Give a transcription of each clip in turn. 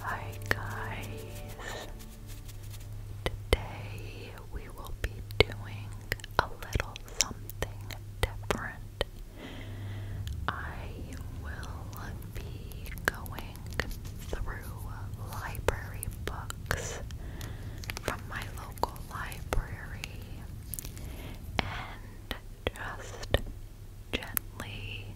Hi guys. Today we will be doing a little something different. I will be going through library books from my local library and just gently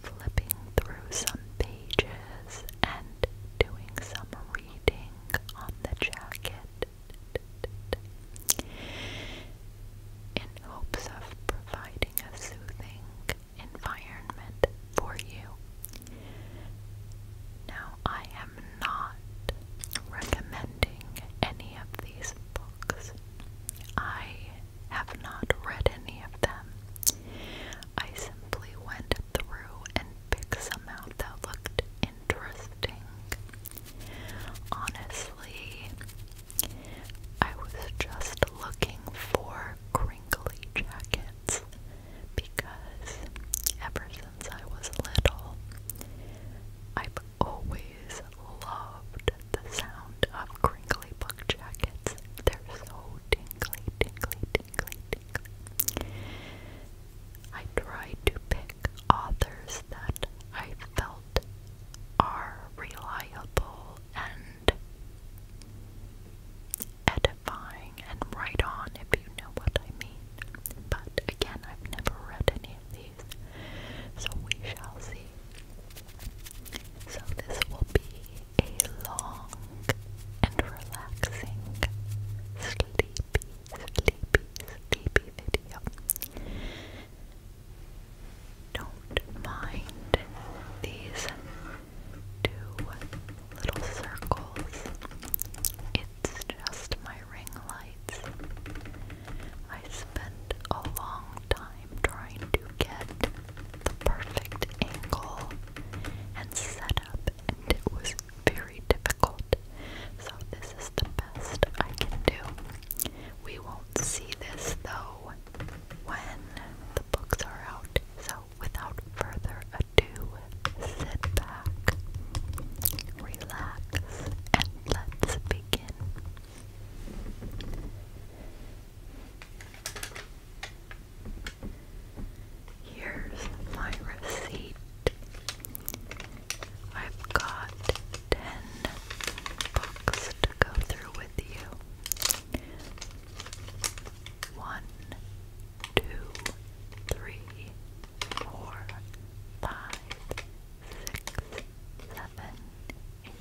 flipping through some pages and doing some reading on the jacket in hopes of providing a soothing environment for you. Now, I am not recommending any of these books. I have not read any of them. I simply went through and picked some out that looked interesting. Honestly, I was just looking for crinkly jackets because ever since I was little, I've always loved the sound of crinkly book jackets. They're so tingly, tingly, tingly, tingly. I try to pick authors that I felt are reliable and edifying and right on, if you know what I mean. But again, I've never read any of these, so we shall see. So, this will be a long and relaxing, sleepy, sleepy, sleepy video. Don't mind these two little circles. It's just my ring lights. I spent a long time trying to get the perfect angle and setup, and it was very difficult. So, this is the best I can do. We won't see this though when the books are out, so without further ado, sit back, relax, and let's begin. Here's my receipt. I've got 10 books to go through with you. One, two, three, four, five, six, seven, eight,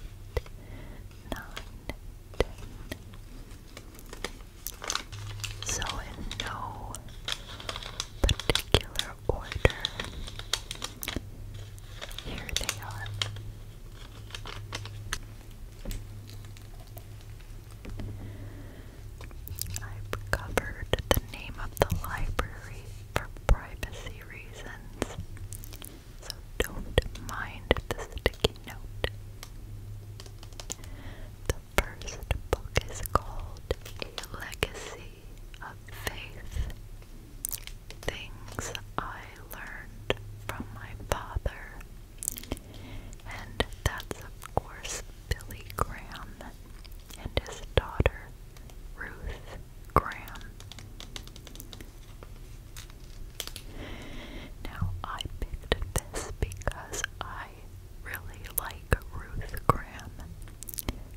nine, ten. So in no particular order, here they are. I've covered the name of the library for privacy reasons, so don't mind the sticky note. The first book is called A Legacy of Faith Things I Learned from My Father and that's, of course, Billy Graham and his daughter, Ruth Graham. Now, I picked this because I really like Ruth Graham.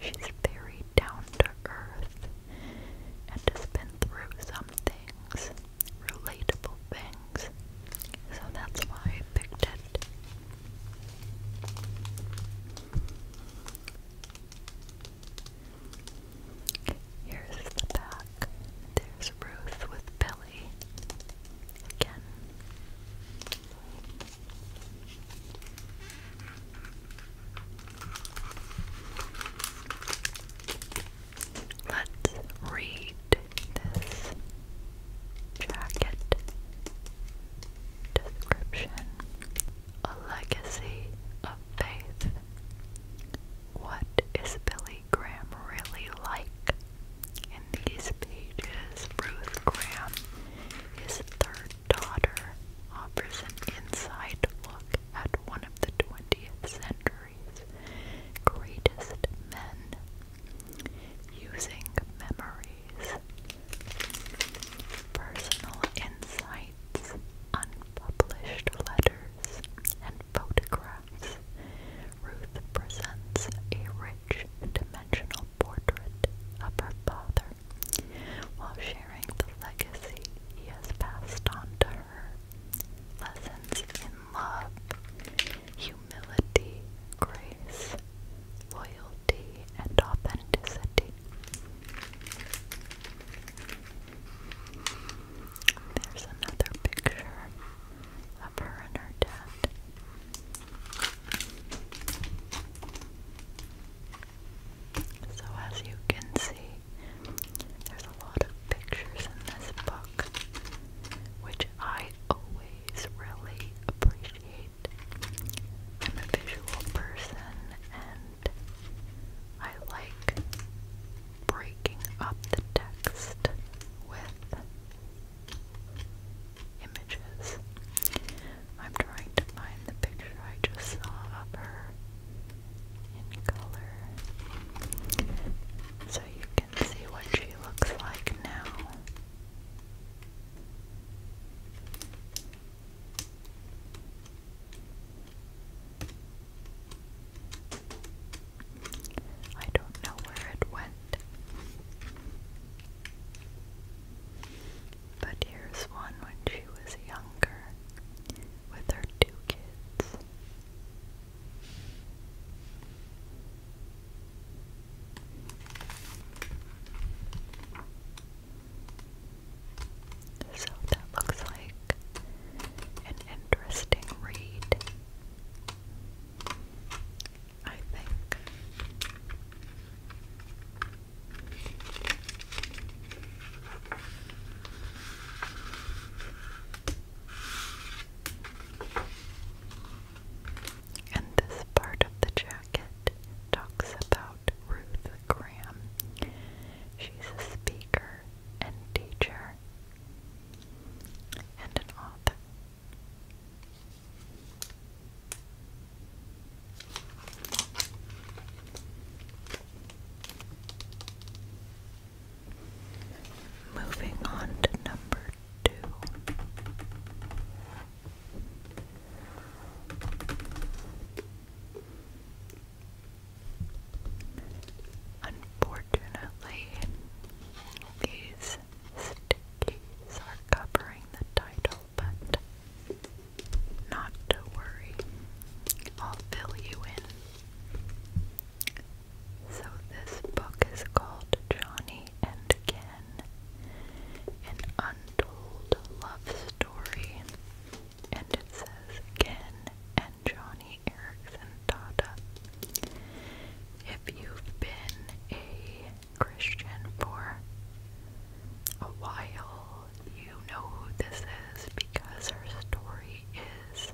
She's very down to earth and has been through some relatable things. So that's why I picked it. Here's the back. There's Ruth with Billy. Again. Let's read this jacket description. A legacy of faith. What is Billy Graham really like? In these pages, Ruth Graham, his third daughter, offers an inside look at one of the 20th century's greatest men using memories, personal insights, unpublished letters, and photographs. Ruth presents a rich dimensional portrait of her father while sharing the legacy he has passed on to her. Lessons in love, humility, grace, loyalty, and authenticity. There's another picture of her and her dad. So, as you can see, there's a lot of pictures in this book, which I always always really appreciate. I'm a visual person and I like breaking up the text with images. I'm trying to find the picture I just saw of her in color so you can see what she looks like now. I don't know where it went. But here's one when she was younger with her two kids. So that looks like an interesting read. I think. And this part of the jacket talks about Ruth Graham. She's a speaker and teacher and an author. Moving on to number two. Unfortunately, these stickies are covering the title, but not to worry, I'll fill you in. So, this book is called Johnny and Ken, an untold love story. And it says Ken and Johnny Erickson Tata. If you've been a Christian for a while, you know who this is because her story is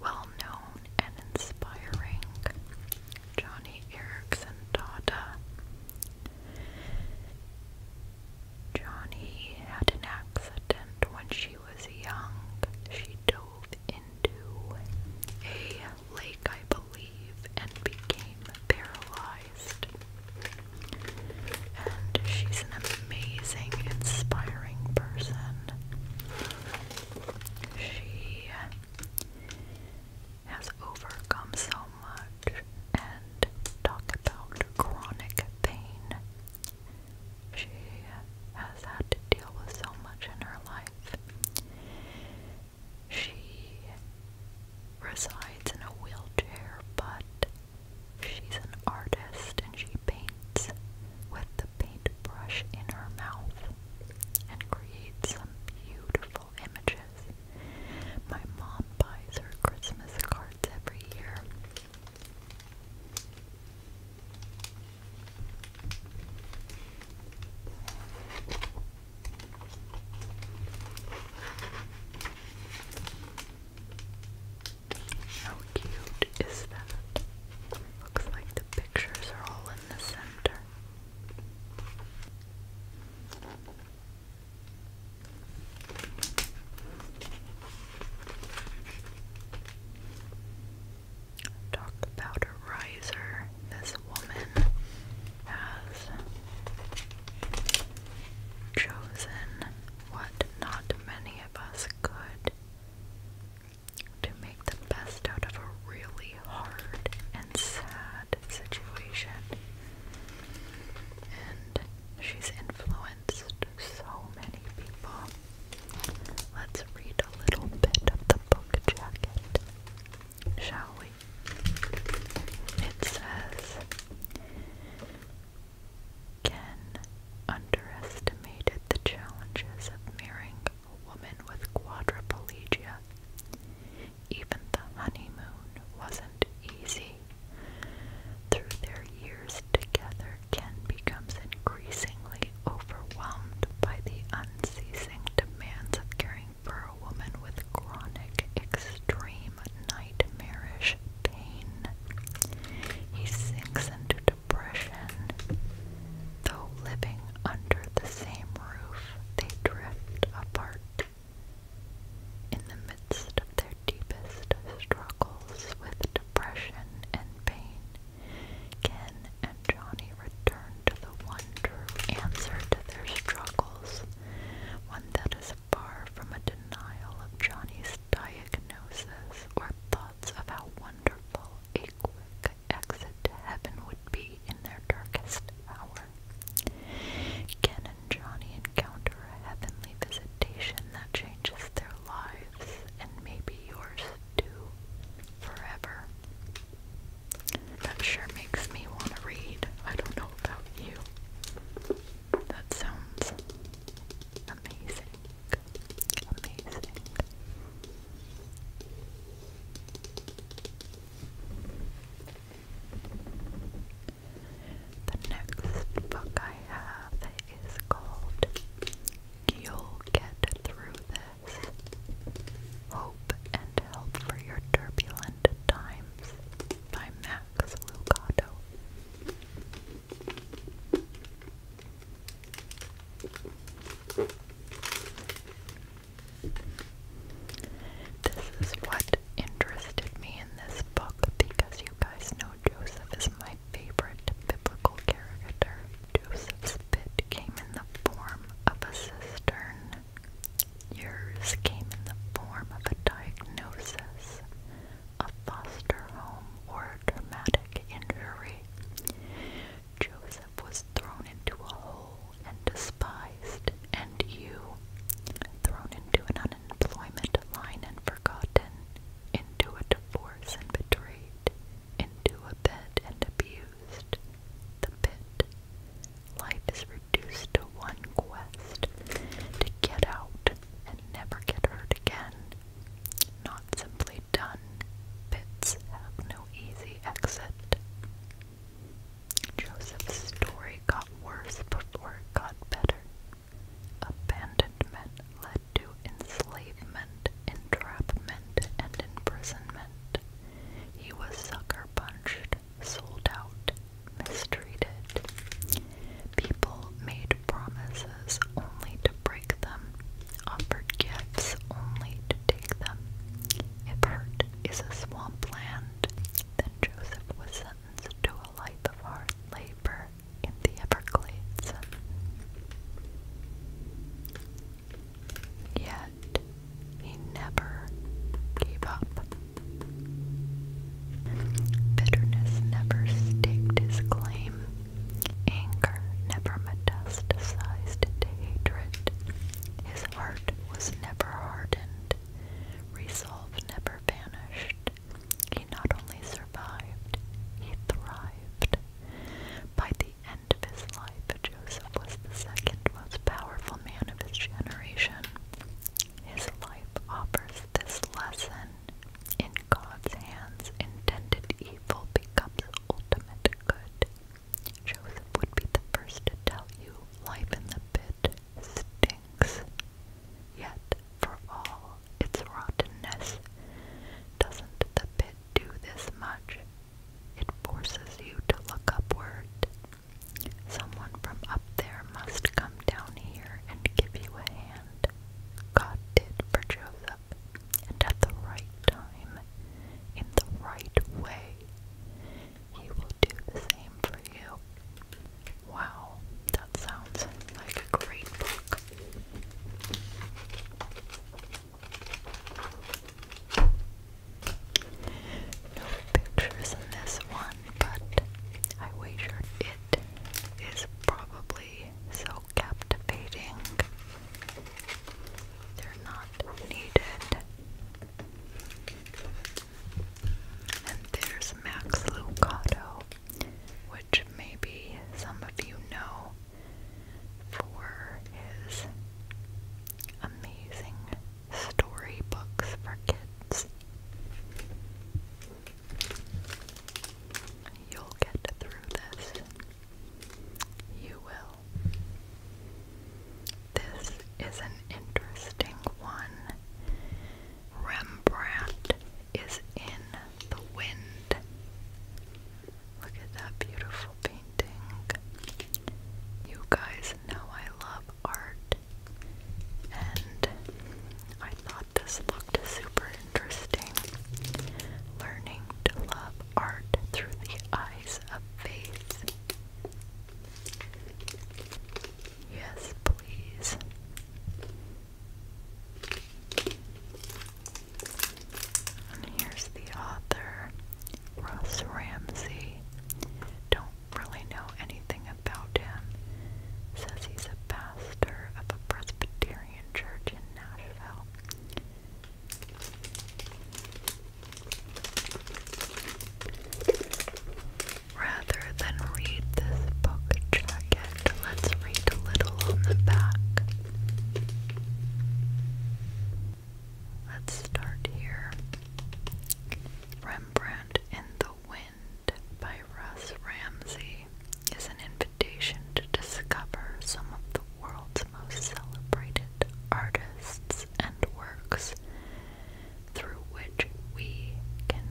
well known known and inspiring Johnny Erickson daughter. Johnny had an accident when she was young. She dove into a lake, I believe, and became paralyzed. And she's an amazing, inspiring person. She has overcome so much and talk about chronic pain. She has had to deal with so much in her life. She resides in a wheelchair, but she's an artist and she paints with the paintbrush in her mouth and creates some beautiful images. My mom buys her Christmas cards every year. How cute is that? Looks like the pictures are all in the center. Talk about a riser. This woman has chosen what not many of us could to make the best out of a really hard and sad situation. And she's influenced so many people. Let's read a little bit of the book jacket, shall we? It says Ken underestimated the challenges of marrying a woman with quadriplegia. Even the honeymoon wasn't easy. Through their years together, Ken becomes increasingly overwhelmed by the unceasing demands of caring for a woman with chronic, extreme, nightmarish pain. He sinks into depression. Though living under the same roof, they drift apart. In the midst of their deepest struggles with depression and pain, Ken and Johnny return to the one true answer to their struggles, one that is far from a denial of Johnny's diagnosis or thoughts of how wonderful a quick exit to heaven would be in their darkest hour. Ken and Johnny encounter a heavenly visitation that changes their lives and maybe yours too forever. That sure makes me want to read. I don't know about you. That sounds amazing. Amazing. The next book I have is called You'll Get Through This Hope and Help for Your Turbulent Times by Max Lucado. This is what interested me in this book because you guys know Joseph is my favorite biblical character. Joseph's pit came in the form of a cistern. Yours came in the form of a diagnosis, a foster home, or a traumatic injury. Joseph was thrown into a hole and despised, and you, thrown into an unemployment line and forgotten, into a divorce and betrayed, into a bed and abused, the pit. Life is reduced to one quest, to get out and never get hurt again. Not simply done, pits have no easy exit. Joseph's story got worse before it got better. Abandonment led to enslavement, entrapment, and imprisonment. He was sucker punched, sold out, mistreated. People made promises only to break them, offered gifts only to take them. If is a swampland, then Joseph was sentenced to a life of hard labor in the Everglades. Yet, he never gave up. Bitterness never staked his claim. Anger never metastasized to hatred. His heart was never hardened. Resolve never vanished. He not only survived, he thrived. By the end of his life, Joseph was the second most powerful man of his generation. His life offers this lesson. In God's hands, intended evil becomes ultimate good. Joseph would be the first to tell you life in the pit it stinks. Yet, for all its rottenness, doesn't the pit do this much? It forces you to look upward. Someone from up there must come down here and give you a hand. God did for Joseph, and at the right time, in the right way he will do the same for you. Wow, that sounds like a great book. No pictures in this one, but I wager it is probably so captivating. They're not needed. And there's Max Lucado, which maybe some of you know for his amazing storybooks for kids. You'll get through this. You will. This is an interesting one. Rembrandt is in the wind. Look at that beautiful painting. You guys know I love art, and I thought this looked super interesting. Learning to love art through the eyes of faith. Yes, please. And here's the author, Russ Ramsey. Don't really know anything about him. Says he's a pastor of a Presbyterian church in Nashville. Rather than read this book jacket, let's read a little on the back. Let's start here. Rembrandt in the Wind by Russ Ramsey is an invitation to discover some of the world's most celebrated artists and works through which we can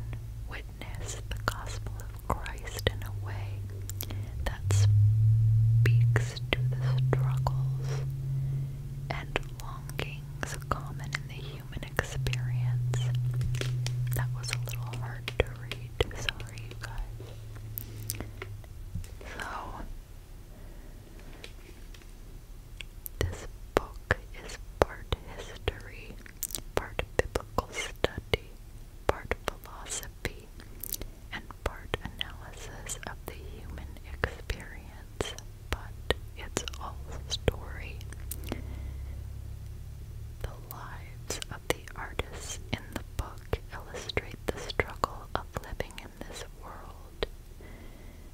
witness the gospel of Christ in a way that speaks to the struggles and longings common in the human experience. That was a little hard to read, sorry you guys. So this book is part history, part biblical study, part philosophy, and part analysis of the human experience, but it's all story. The lives of the artists in the book illustrate the struggle of living in this world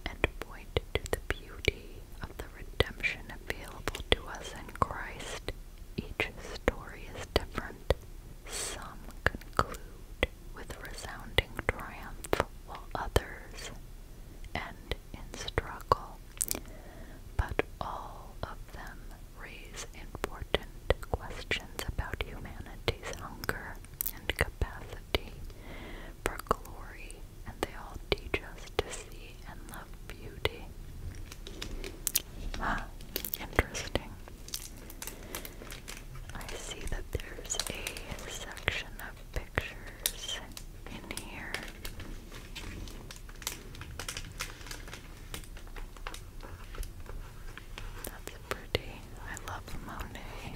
and point to the beauty of the redemption available to us in Christ, each story is different. Some conclude with resounding triumph, while others end in struggle. But all of them raise important questions about humanity's hunger and capacity for glory, and they all teach us to see and love beauty. interesting. I see that there's a section of pictures in here. That's pretty. I love Monet.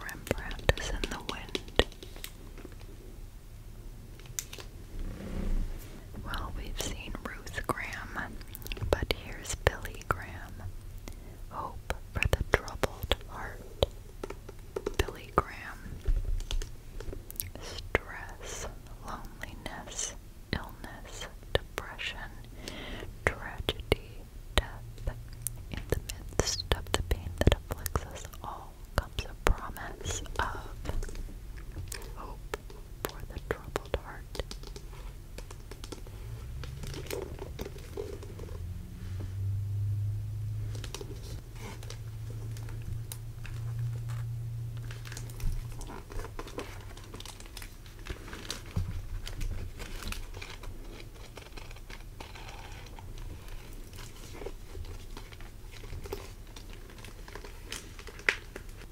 Rembrandt is in the wind. Well, we've seen Ruth Graham, but here's Billy Graham. Hope for the troubled heart. Billy Graham. Stress, loneliness, illness, depression, tragedy, death. In the midst of the pain that afflicts us all comes a promise of hope for the troubled heart.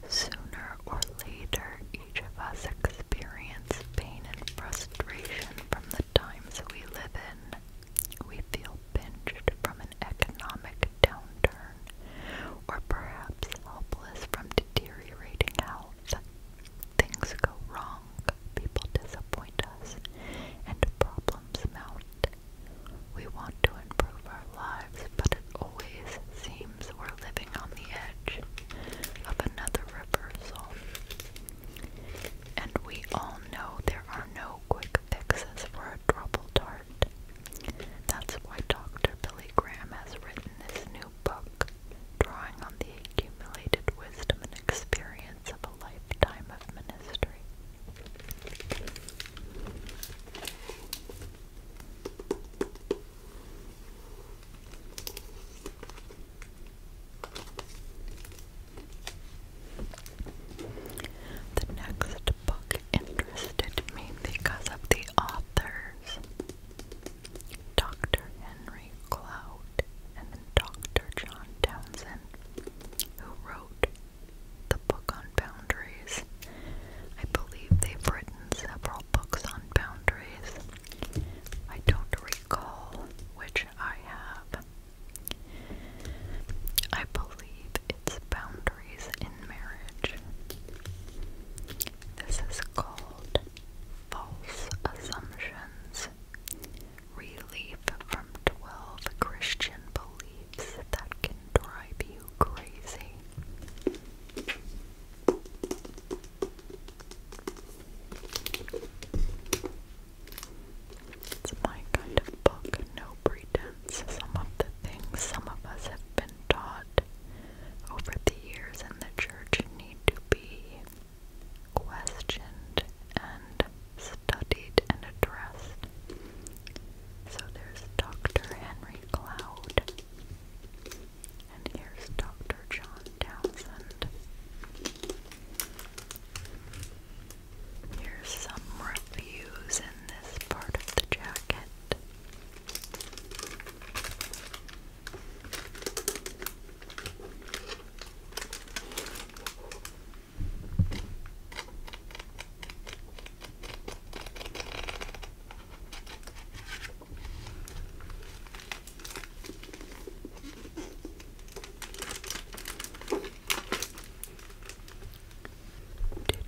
Sooner or later, each of us experience pain and frustration from the times we live in. We feel pinched from an economic downturn or perhaps helpless from deteriorating health. Things go wrong, people disappoint us, and problems mount. We want to improve our lives, but it always seems we're living on the edge of another reversal. And we all know there are no quick fixes for a troubled heart. That's why Dr. Billy Graham has written this new book, drawing on the accumulated wisdom and experience of a lifetime of ministry. The next book interested me because of the authors. Dr. Henry Cloud and Dr. John Townsend, who wrote the book on boundaries. I believe they've written several books on boundaries. I don't recall which I have. I believe it's Boundaries in Marriage. This is called False Assumptions. Relief from 12 Christian beliefs that can drive you crazy. It's my kind of book, no pretense. Some of the things some of us have been been taught over the years in the church need to be questioned and studied and addressed. So there's Dr. Henry Cloud, and here's Dr. John Townsend. Here's some reviews in this part of the jacket.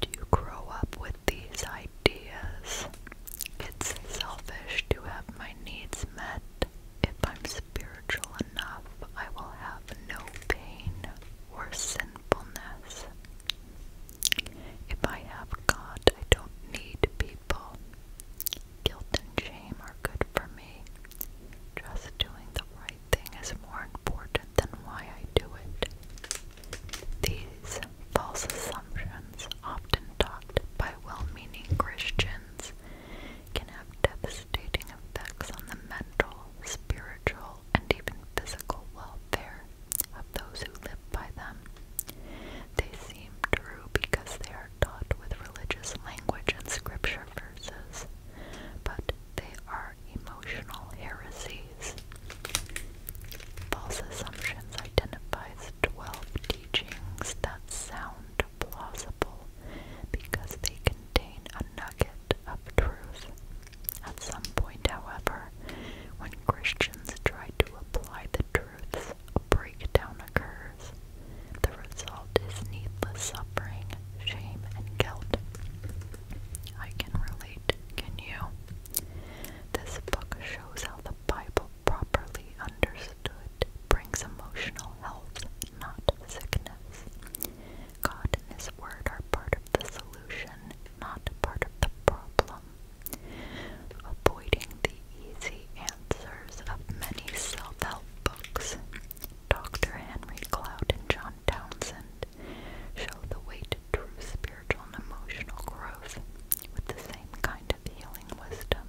Did you grow up with these ideas? It's selfish to have my needs met. If I'm spiritual enough, I will have no pain or sinfulness. If I have God, I don't need people. Guilt and shame are good for me. Just doing the right thing is more important than why I do it. These false assumptions, often taught by well meaning Christians, can have devastating effects on the mental, spiritual, and even physical welfare of those who live by them. They seem true because they are taught with religious language and scripture verses, but they are emotional heresies. False assumptions identifies 12 teachings that sound plausible because they contain a nugget of truth. At some point, however, when Christians try to apply the truths, a breakdown occurs. The result is needless suffering, shame, and guilt. I can relate, can you? This book shows how the Bible properly understood, brings emotional health, not sickness. God and His Word are part of the solution, not part of the problem. Avoiding the easy answers of many self help books, Dr. Henry Cloud and John Townsend show the way to true spiritual and emotional growth with the same kind of healing wisdom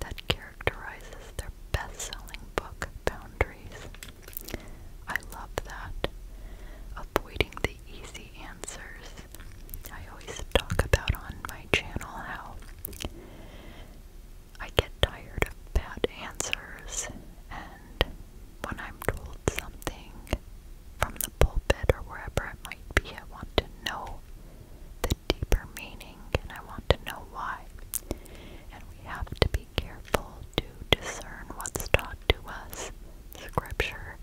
that characterizes their best selling book, Boundaries. I love that. Avoiding the easy answers. I always talk about on my channel how I get tired of bad answers, and when I'm told something from the pulpit or wherever it might be, I want to know the deeper meaning, and I want to know why. And we have to be careful to discern what's taught to us. Scripture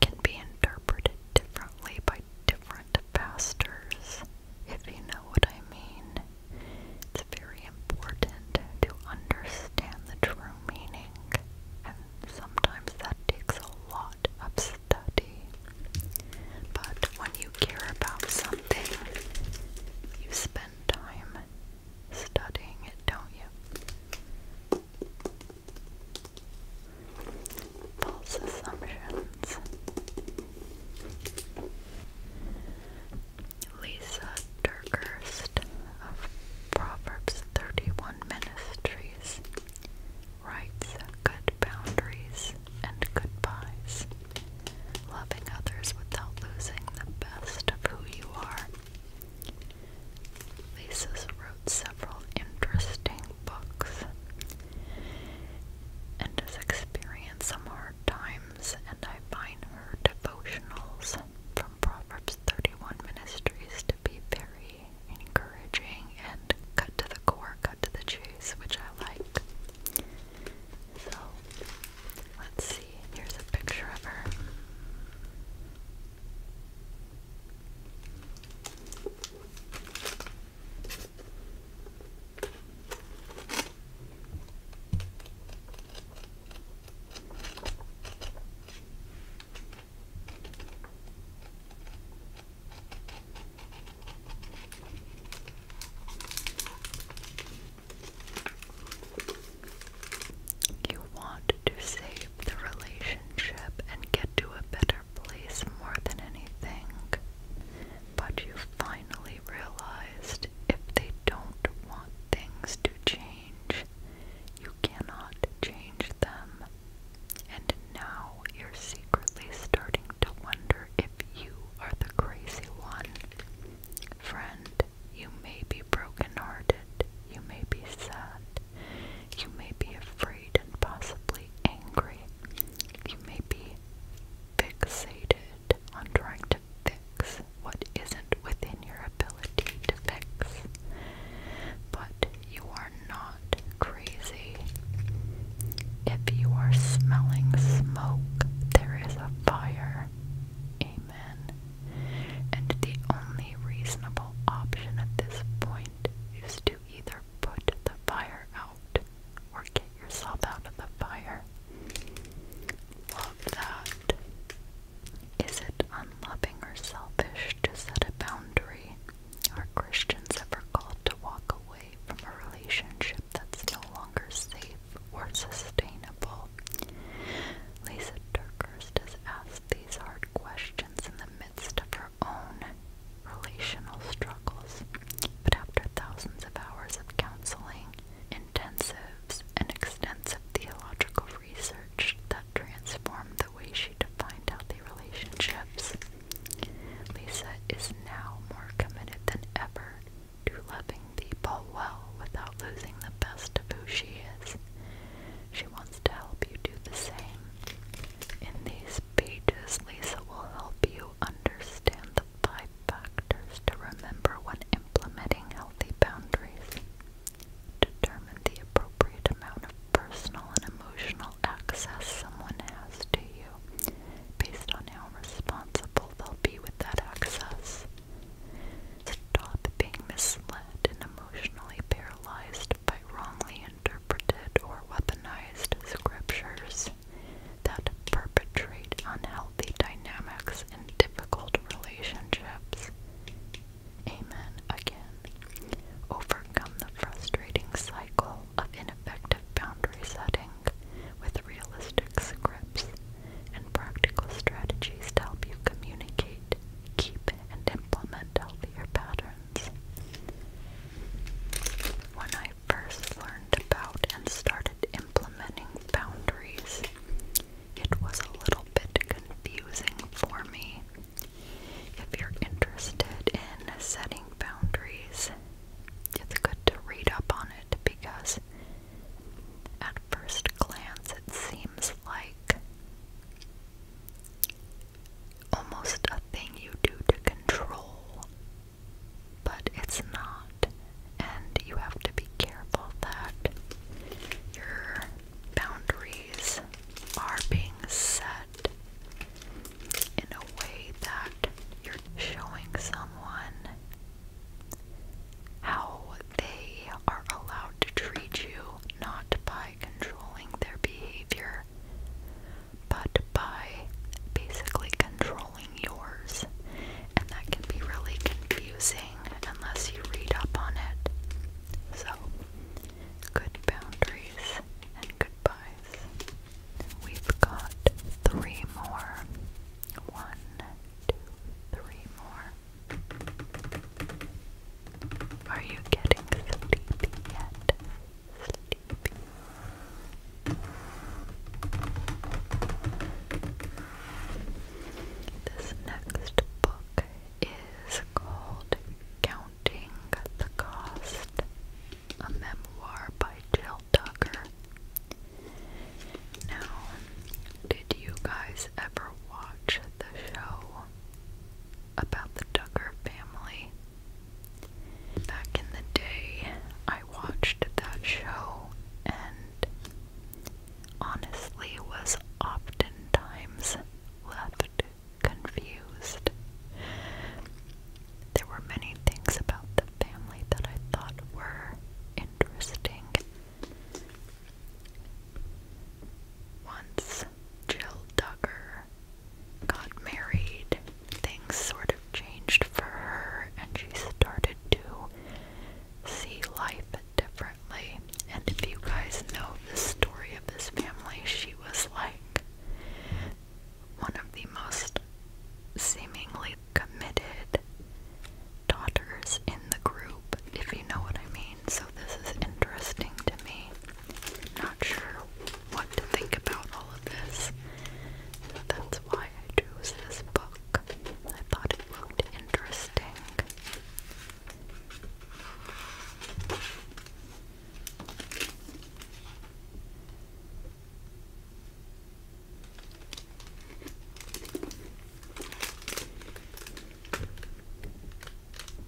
can be interpreted differently by different pastors, if you know what I mean. It's very important to understand the true meaning, and sometimes that takes a lot of but when you care about something, you spend time studying it, don't you? False assumptions. Lisa Durkheist of Proverbs 31 Ministries rights, good boundaries, and goodbyes. Loving others without losing the best of who you are. Lisa's wrote several interesting books and has experienced some hard times, and I find her devotionals from Proverbs 31 Ministries to be very encouraging and cut to the core, cut to the chase, which I like. So, let's see. Here's a picture of her. You want to save the relationship and get to a better place more than anything, but you finally realized if they don't want things to change, you cannot change them. And now you're secretly starting to wonder if you are the crazy one. Friend, you may be broken-hearted, you may be sad, you may be afraid and possibly angry, you may be fixated on trying to fix what isn't within your ability to fix. But you are not not crazy. If you are smelling smoke, there is a fire. Amen. And the only reasonable option at this point is to either put the fire out or get yourself out of the fire. Love that. Is it unloving or selfish to set a boundary are Christians ever called to walk away from a relationship that's no longer safe or sustainable? Lisa Turkhurst has asked these hard questions in the midst of her own relational struggles, but after thousands of hours of counseling, intensives, and extensive theological research that transformed the way she defined healthy relationships, Lisa is now more committed than ever to loving people well without losing the best of who she is. She wants to help you do the same. In these pages, Lisa will help you understand the five factors to remember when implementing healthy boundaries. Determine the appropriate amount of personal and emotional access someone has to you based on how responsible they'll be with that access. Stop being misled and emotionally paralyzed by wrongly interpreted or weaponized scriptures that perpetrate unhealthy dynamics and difficult relationships. Amen again. Overcome the frustrating cycle example of ineffective boundary setting with realistic scripts and practical strategies to help you communicate, keep, and implement healthier patterns. When I first learned about and started implementing boundaries, it was a little bit confusing for me. If you're interested in setting boundaries it's good to read up on it because at first glance it seems like almost a thing you do to control, but it's not, and you have to be careful that your boundaries are being set in a way that you're showing someone how they are allowed to treat you not by controlling their behavior, but by basically controlling yours. And that can be really confusing unless you read up on it. So, good boundaries and goodbyes. We've got three more. One, two, three more. Are you getting sleepy yet? Sleepy. This next book is called Counting the Cost, a memoir by by Jill Tucker. Now, did you guys ever watch the show about the Tucker family? Back in the day, I watched that show and honestly was oftentimes left confused. There were many things about the family that I thought were interesting. Once Jill Duggar got married, things sort of changed for her and she started to see life differently. And if you guys know the story of this family, she was like one of the most seemingly committed daughters in the group, if you know what I mean. So, this is interesting to me. Not sure what to think about all of this. that's why I chose this book. I thought it looked interesting.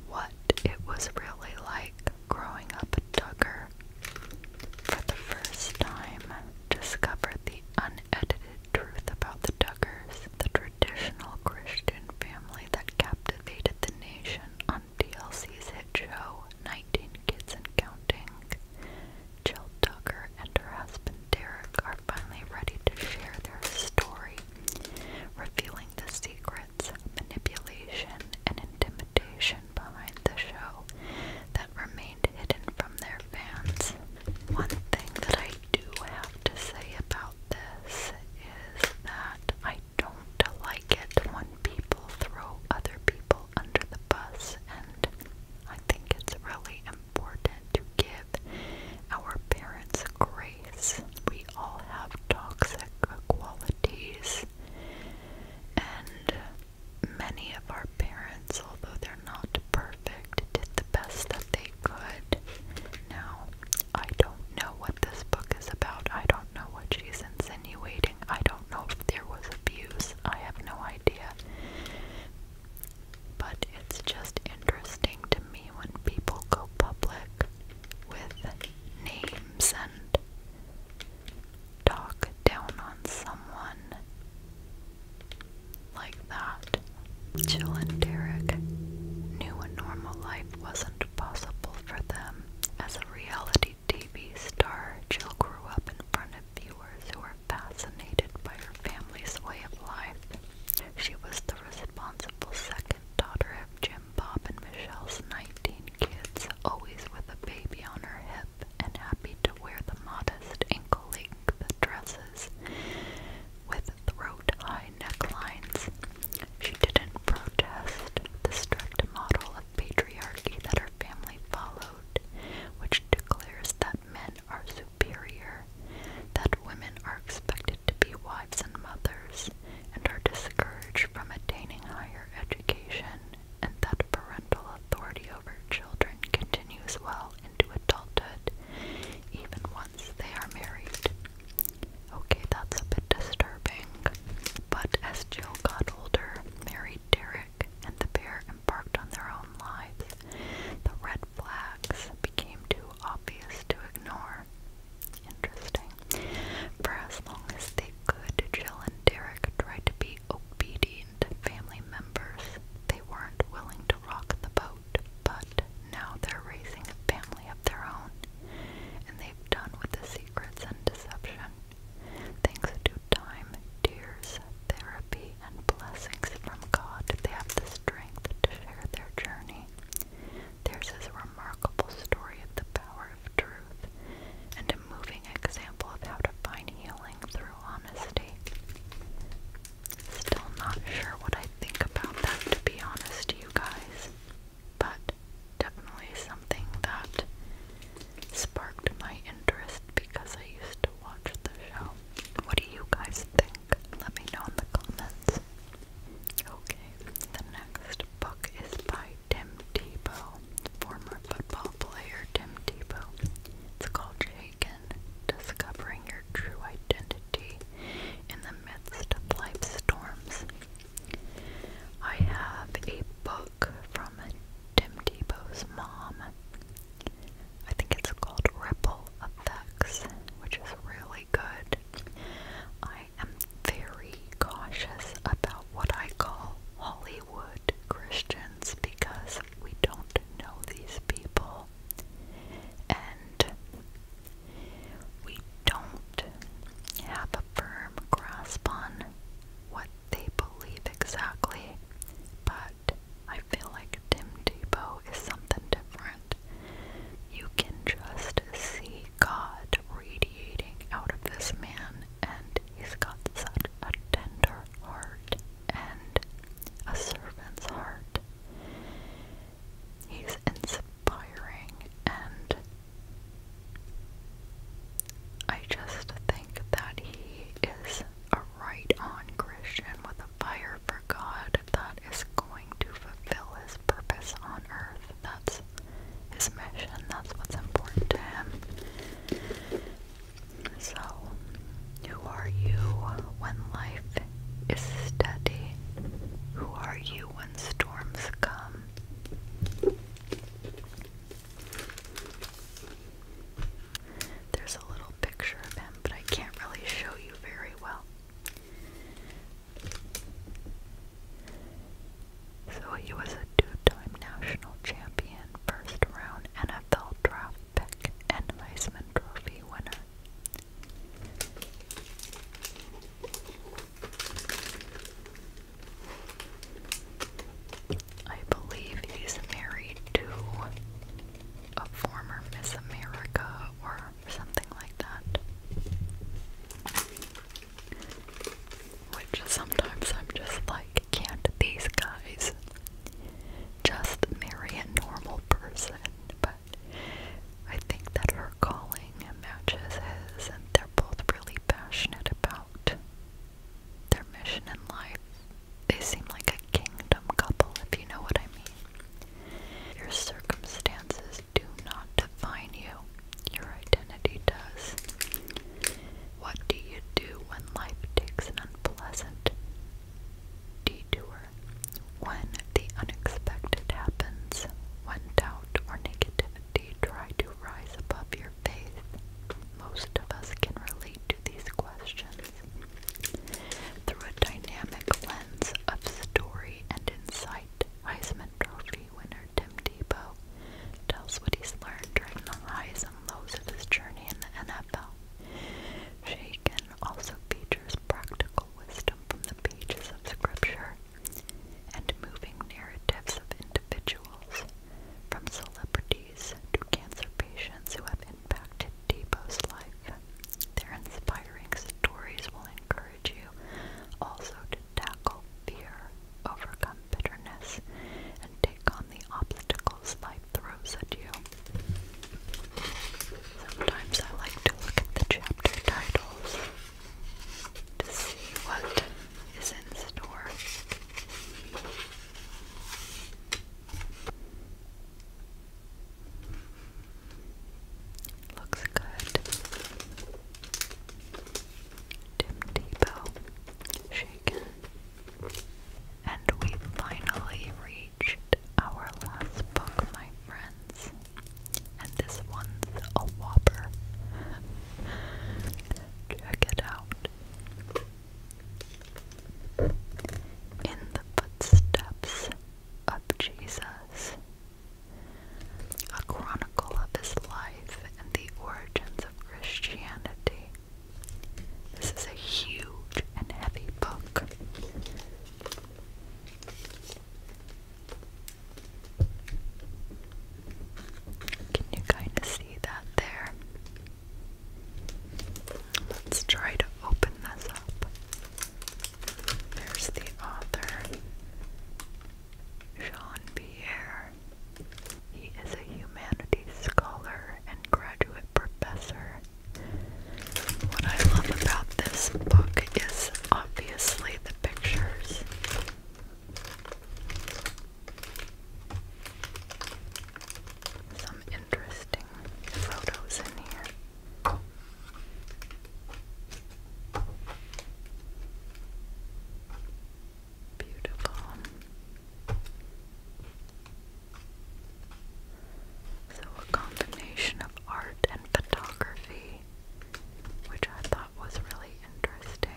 What it was really like growing up a Duggar. For the first time, discovered the unedited truth about the Duggars, the traditional Christian family that captivated the nation DLC's hit show 19 Kids and Counting, Jill Tucker and her husband Derek are finally ready to share their story, revealing the secrets, manipulation, and intimidation behind the show that remained hidden from their fans. One thing that I do have to say about this is that I don't like like when people throw other people under the bus, and I think it's really important to give our parents grace. We all have toxic qualities, and many of our parents, although they're not perfect, did the best that they could. Now, I don't know what this book is about. I don't know what she's in I don't know if there was abuse. I have no idea. But it's just interesting to me when people go public with names and talk down on someone like that. Jill and Derek knew a normal life wasn't possible for them as a reality TV star, Jill grew up in front of viewers who were fascinated by her family's way of life. She was the responsible second daughter of Jim, Bob, and Michelle's 19 kids, always with a baby on her hip and happy to wear the modest ankle-length dresses with throat-high necklines. She didn't protest the strict model patriarchy that her family followed, which declares that men are superior, that women are expected to be wives and mothers, and are discouraged from attaining higher education, and that parental authority over children continues well into adulthood, even once they are married. Okay, that's a bit disturbing. But as Jill got older, married Derek Eric and the bear embarked on their own lives, the red flags became too obvious to ignore. Interesting. For as long as they could, Jill and Derek tried to be obedient family members. They weren't willing to rock the boat, but now they're raising a family of their own, and they've done with the secrets and deception. Thanks to time, tears, therapy, and blessings from God, they have the strength to share their journey. Theirs is remarkable story of the power of truth and a moving example of how to find healing through honesty. Still not sure what I think about that, to be honest, you guys, but definitely something that sparked my interest because I used to watch the show. What do you guys think? Let me know in the comments. Okay, the next book is by Tim Tebow, former football player Tim Tebow. It's called Shaken, Discovering Your True Identity in the Midst of Life's Storms. I have a book from Tim Tebow's mom I think it's called Ripple Effects, which is really good. I am very cautious about what I call Hollywood Christians because we don't know these people and we don't have a firm grasp on what they believe exactly, but I feel like Tim Depot is something different. You can just see God radiating out of this man, and he's got such a tender heart and a servant's heart. He's inspiring, and I just think that he is a right on Christian with a fire for God that is going to fulfill his purpose on earth. That's his mission, that's what's important to him. So, who are you when life is steady? Who are you when storms come? There's a little picture of him, but I can't really show you very well. So he was a two-time national champion, first-round NFL draft pick, and Weisman Trophy winner. I believe he's married to a former Miss America or something like that. Which sometimes I'm just like, can't these guys just marry a normal person? But I think that her calling matches his, and they're both really passionate about their mission in life. They seem like a kingdom couple, if you know what I mean. Your circumstances do not define you, your identity does. What do you do when life takes an unpleasant detour? When the unexpected happens, when doubt or negativity try to rise above your faith? Most of us can relate to these questions. Through a dynamic lens of story and insight, Heisman Trophy winner Tim Tebow tells what he's learned during the highs and lows of his journey in the NFL. Shaken also features practical wisdom from the pages of Scripture and moving narratives of individuals, from celebrities therapies to cancer patients who have impacted Depot's life. Their inspiring stories will encourage you also to tackle fear, overcome bitterness, and take on the obstacles life throws at you. Sometimes I like to look at the chapter titles to see what is in store. Looks good. Tim Depot shaken. And we finally reached our last book, my friends. And this one's a whopper. Check it out in the footsteps of Jesus, a chronicle of his life and the origins of Christianity. This is a huge and heavy book. Can you kind of see that there? Let's try to open this up. There's the author, Jean Pierre. He is a humanities scholar and graduate professor. What I love about this book is obviously the pictures some interesting photos in here. Beautiful. So, a combination of art and photography, which I thought was really interesting.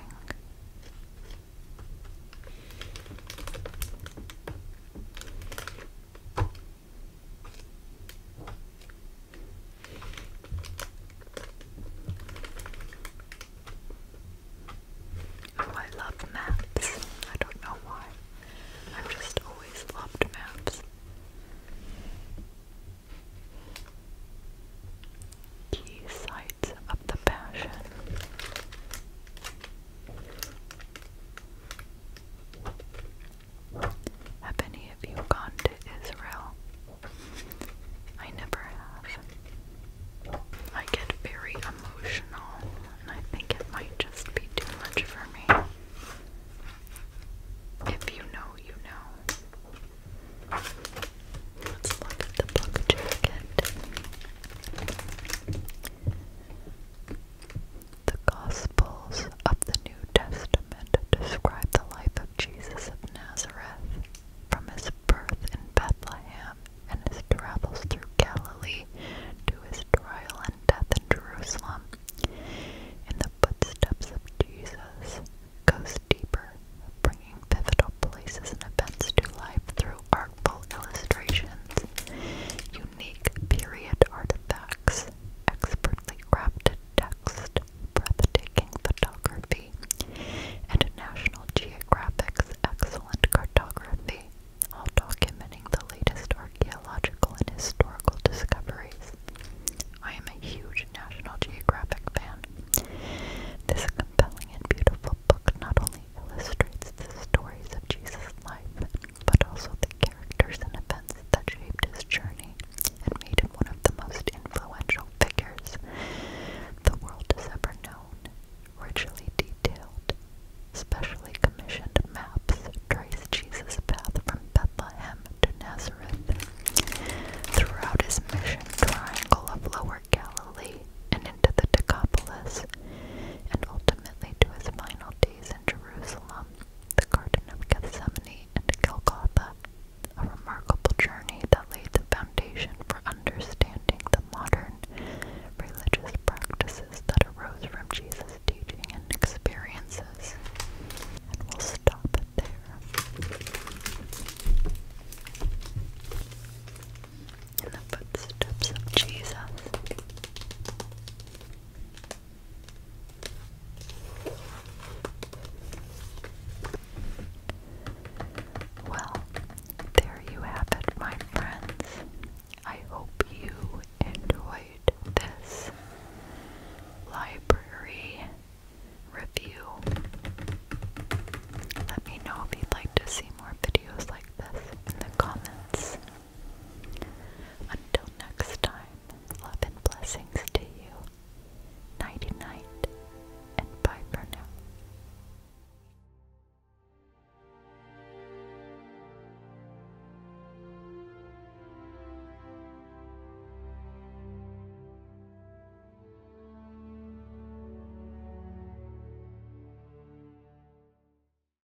Oh, I love maps. I don't know why. I've just always loved maps. Key sites of the Passion. Have any of you gone to Israel? I never have. I get very emotional, and I think it might just be too much for me. If you know, you know. Let's look at the book jacket. The Gospels of the New Testament describe the life of Jesus of Nazareth from his birth in Bethlehem and his travels through Galilee to his trial and death in Jerusalem. In the footsteps of Jesus goes deeper, bringing pivotal places and events to life through artful illustrations, unique period artifacts, expertly crafted text, breathtaking photography, and National Geographic's excellent cartography, all documenting the latest archaeological and historical discoveries. I am a huge National Geographic fan. This compelling and beautiful book not only illustrates the stories of Jesus' life, but also the characters and events that shaped his journey and made him one of the most influential figures the world has ever known. Richly detailed, specially commissioned maps trace Jesus' path from Bethlehem to Nazareth throughout his mission triangle of Lower Galilee and into the Decapolis, and ultimately to his final in Jerusalem, the Garden of Gethsemane, and Golgotha, a remarkable journey that laid the foundation for understanding the modern religious practices that arose from Jesus' teaching and experiences. And we'll stop it there. In the footsteps of Jesus. Well, there you have it, my friends. I hope you enjoyed this library review. Let me know if you'd like to see more videos like this in the comments. Until next time, love and blessings to you. Nighty night, and bye for now.